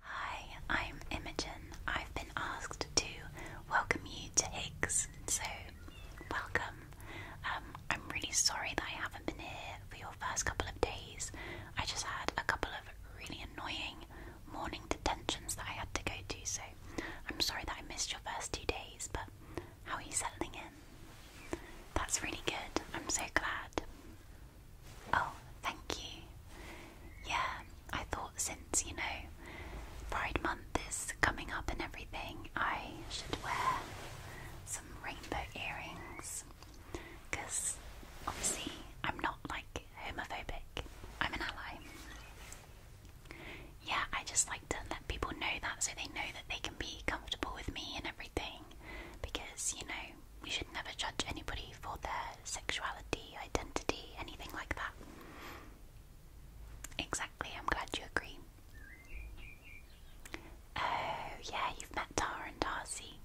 Hi, I'm Imogen. I've been asked to welcome you to Higgs, so welcome. Um, I'm really sorry that I haven't been here for your first couple of days. I just had a couple of really annoying morning detentions that I had to go to, so I'm sorry that I missed your first two days, but how are you settling in? That's really good. I'm so glad. Oh, thank you. Yeah, I thought since, you know, Pride Month is coming up and everything, I should wear some rainbow earrings. Because obviously, I'm not like homophobic, I'm an ally. Yeah, I just like to let people know that so they know that they can be comfortable with me and everything. Because, you know, we should never judge anybody for their sexuality, identity, anything like that. Exactly, I'm glad you agree. Oh, yeah, you've met Tara and Darcy.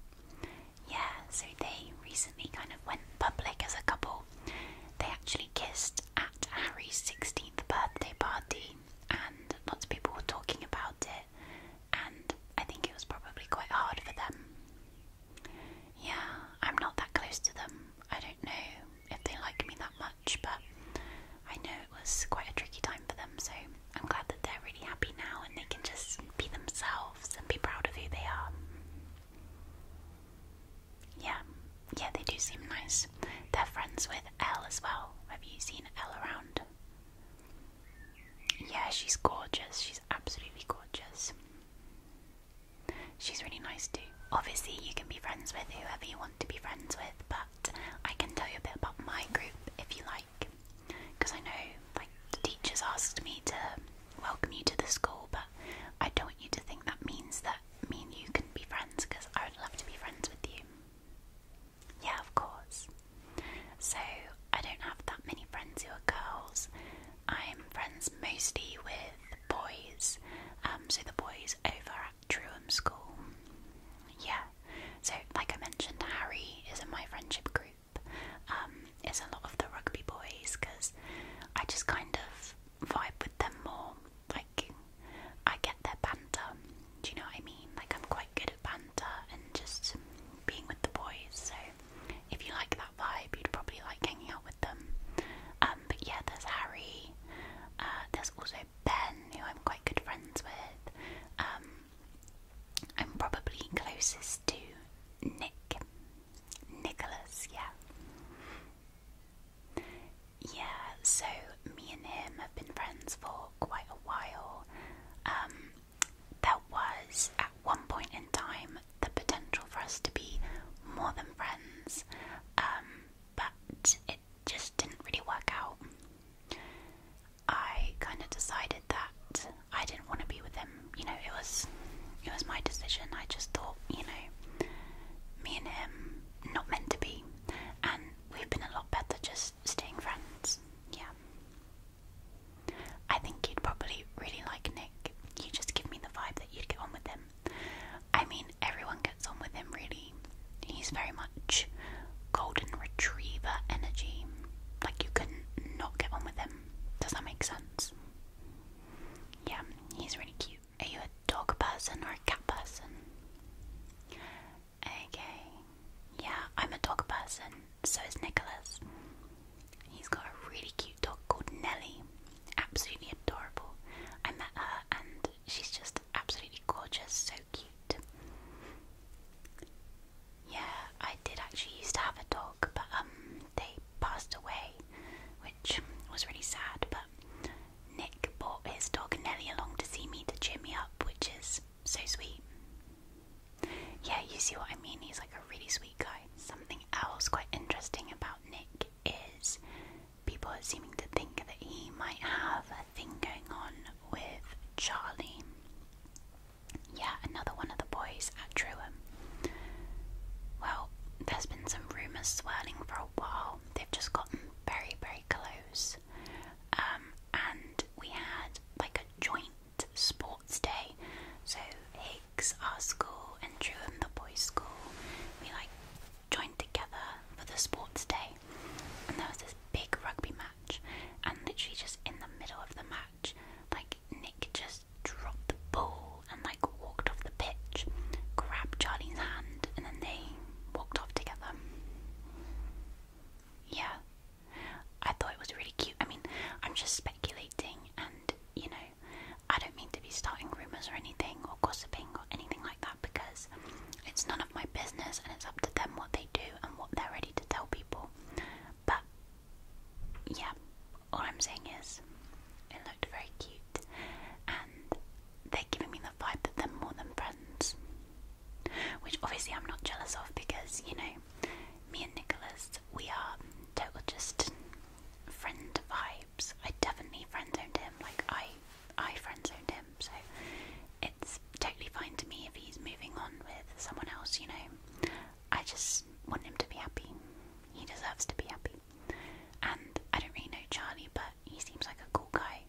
Yeah, so they recently kind of went public as a couple. They actually kissed at Harry's 16th birthday party, and lots of people were talking about it and I think it was probably quite hard for them. Yeah, I'm not that close to them. I don't know if they like me that much, but I know it was quite a tricky time for them, so I'm glad that they're really happy now and they can just be themselves and be proud of who they are. Yeah, yeah, they do seem nice. They're friends with Elle as well. Have you seen Elle around? Yeah, she's gorgeous. She's absolutely gorgeous. She's really nice too. Obviously, you can be friends with whoever you want to be friends with, but I can tell you a bit about my group if you like. Because I know, the teachers asked me to welcome you to the school, but I don't want you to think that means that mean you can be friends, because I would love to be friends with you. Yeah, of course. So I don't have that many friends who are girls. I'm friends mostly with boys, um, so the boys over at Truham School. Yeah, so like I mentioned, Harry is in my friendship group. Um, it's a lot of the rugby boys because I just kind of vibe with them more. Like I get their banter. Do you know what I mean? Like I'm quite good at banter and just being with the boys. So if you like that vibe, you'd probably like hanging out with them. Um, but yeah, there's Harry. Uh, there's also Ben, who I'm quite good friends with. Um, I'm probably closest to Nick. Nicholas, yeah. Yeah, so me and him have been friends for quite a while. Um, there was at one point in time the potential for us to be more than friends, um, but it just didn't really work out. I kind of decided that I didn't want to be with him. You know, it was it was my decision. I just thought, you know, me and him not meant to be, and we've been a lot better just staying friends. Yeah. I think you'd probably really like Nick. You just give me the vibe that you'd get on with him. I mean, everyone gets on with him, really. He's very much golden retriever energy. Like, you couldn't not get on with him. Does that make sense? Yeah, he's really cute. Are you a dog person or a cat person? Okay. Yeah, I'm a dog person, so is Nicholas. He's got a really cute dog called Nelly, Absolutely adorable. I met her and she's just absolutely gorgeous, so cute. Yeah, I did actually used to have a dog, but um they passed away, which was really sad, but Nick bought his dog Nelly along to see me to cheer me up, which is so sweet. Yeah, you see what I mean? He's like a really sweet guy. Something else quite interesting about Nick is people are seeming to think that he might have a thing going on with Charlie. Yeah, another one of the boys at Truham. Well, there's been some rumours swirling for a while. They've just gotten very, very close. Um, and we had like a joint sports day. So Higgs, our school, and Truham, the boys' school, we like joined together for the sports day, and there was this big rugby match, and literally just in the middle of the match, like Nick just dropped the ball and like walked off the pitch, grabbed Charlie's hand, and then they walked off together. Yeah, I thought it was really cute. I mean, I'm just speculating, and you know, I don't mean to be starting rumours or anything, or gossiping, or anything like that, because it's none of my business and it's up to them what they do and what they're ready to tell people. But yeah, all I'm saying is it looked very cute, and they're giving me the vibe that they're more than friends which obviously I'm not jealous of because you know me and Nicholas we are total just friend vibes. I definitely friend zoned him, like I I friend zoned him, so it's totally fine to me if he's moving on with someone else. You know, I just want him to be happy. He deserves to be happy, and I don't really know Charlie, but he seems like a cool guy.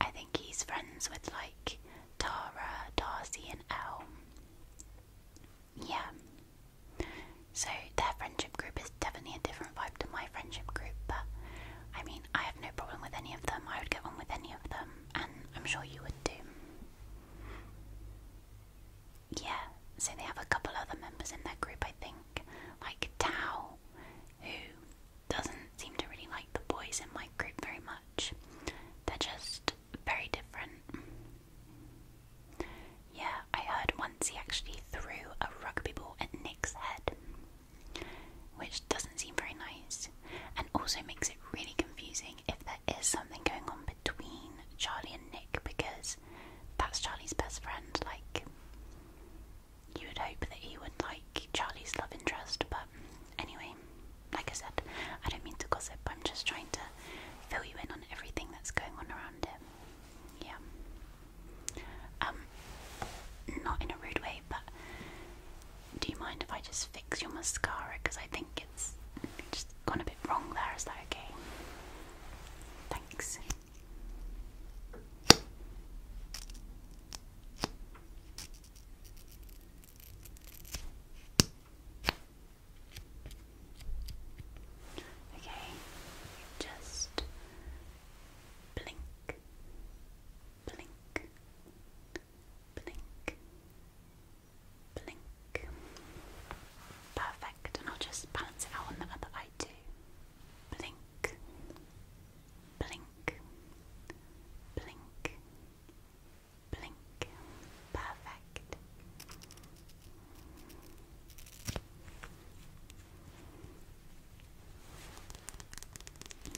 I think he's friends with like Tara, Darcy, and Elm. Yeah. So their friendship group is definitely a different vibe to my friendship group, but I mean, I have no problem with any of them. I would get on with any of them, and I'm sure you would too. Yeah, so they have a couple other members in their group, I think, like Tao, who doesn't seem to really like the boys in my group very much. They're just very different. Yeah, I heard once he actually threw a rugby ball at Nick's head, which doesn't seem very nice and also makes it really confusing if there is something going on between Charlie and Nick because that's Charlie's best friend. Like, you would hope that he would like Charlie's love interest, but anyway, like I said, I don't mean to gossip, I'm just trying to fill you in on everything that's going on around him. Yeah. Um, not in a rude way, but do you mind if I just fix your mascara? Because I think it's just gone a bit wrong there, is that okay? Thanks. Okay, just blink, blink, blink, blink. Perfect, and I'll just balance it out on the other eye too. Blink, blink, blink, blink. Perfect.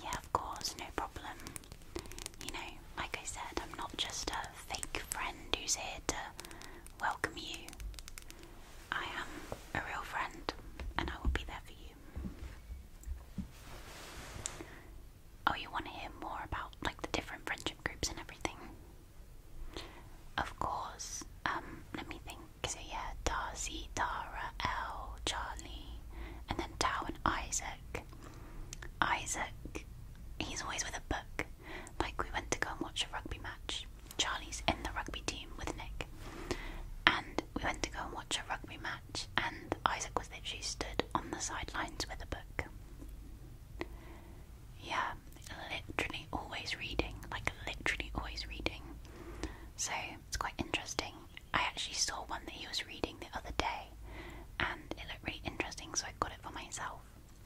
Yeah, of course, no problem. You know, like I said, I'm not just a fake friend who's here to welcome you. I am a real friend, and I will be there for you. Oh, you want to hear more about like the different friendship groups and everything? Of course. Um, let me think. So yeah, Darcy, Tara, L, Charlie, and then Tao and Isaac. Isaac, he's always with a book. Like we went to go and watch a rugby match. Charlie's in the rugby team with Nick and we went to go and watch a rugby match. And Isaac was literally stood on the sidelines with a book. Yeah, literally always reading, like literally always reading. So it's quite interesting. I actually saw one that he was reading the other day, and it looked really interesting, so I got it for myself.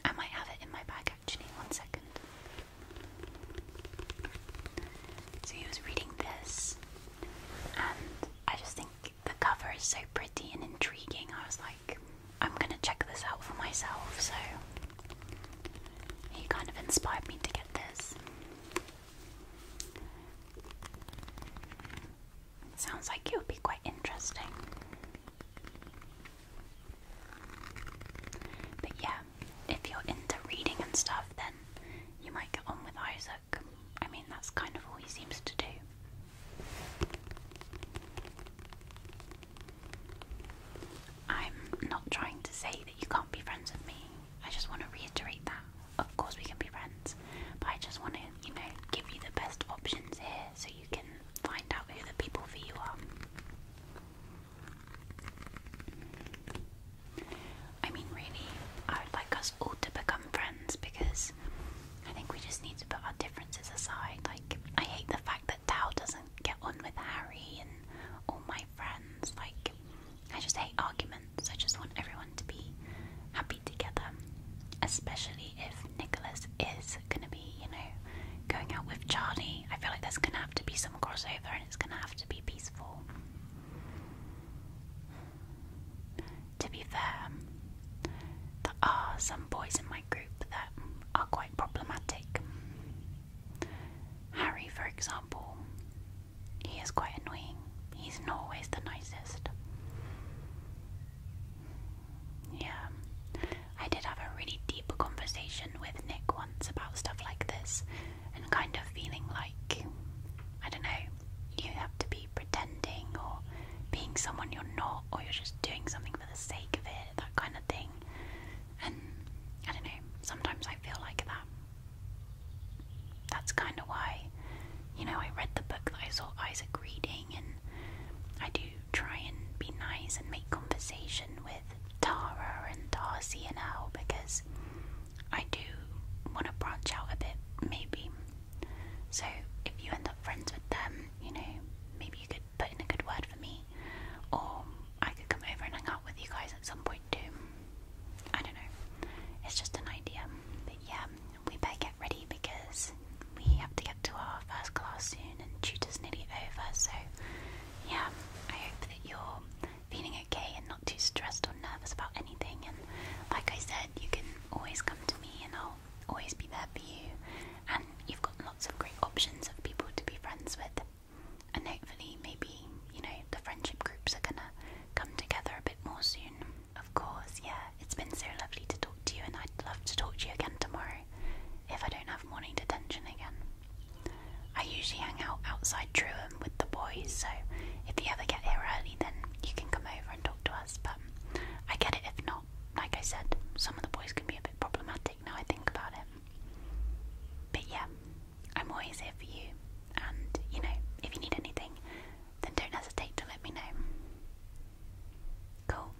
I might have it in my bag actually. One second. So he was reading this, and I just think the cover is so pretty and intriguing. I was like, I'm gonna check this out for myself. So he kind of inspired me to get this. sounds like it would be quite interesting. But yeah, if you're into reading and stuff, then you might get on with Isaac. I mean, that's kind of all he seems to do. I'm not trying to say that you can't be friends with me. I just want to reiterate that. Of course, we can be friends, but I just want to, you know, give you the best options here so you can find out who the people for you are. I mean, really, I would like us all to become friends because I think we just need to put our differences aside. Like, I hate the fact that Tao doesn't get on with Harry and all my friends. Like, I just hate arguments. I just want everyone to be happy together, especially if Nicholas is gonna be, you know, going out with Charlie. I feel like there's gonna have to be some crossover and it's gonna have to be to be fair, there are some boys in my group that are quite problematic. Harry, for example, he is quite annoying. He's not always the nicest. Yeah, I did have a really deep conversation with Nick once about stuff like this, and kind of feeling like, I don't know, you have to be pretending or being someone you're not, or you're just doing something for the sake of it, that kind of thing. And I don't know, sometimes I feel like that. That's kind of why, you know, I read the book that I saw Isaac reading, and I do try and be nice and make conversation with Tara and Darcy and Al because I do want to branch out a bit, maybe. So if you end up friends with them, you know, maybe you could put in a good word for me, or I could come over and hang out with you guys at some point too. I don't know. It's just an idea. But yeah, we better get ready because we have to get to our first class soon and tutor's nearly over, so yeah, I hope that you're feeling okay and not too stressed or nervous about anything. And like I said, you can always come to me, and I'll always be there for you. And you've got lots of great options of people to be friends with. And hopefully, maybe you know the friendship groups are gonna come together a bit more soon. Of course, yeah. It's been so lovely to talk to you, and I'd love to talk to you again tomorrow if I don't have morning detention again. I usually hang out outside Truham with the boys, so if you ever get here early, then you can come over and talk to us. But I get it if not. Like I said, some of the boys can be a bit problematic now I think about it. But yeah, I'm always here for you, and you know, if you need anything, then don't hesitate to let me know. Cool.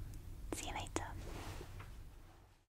See you later.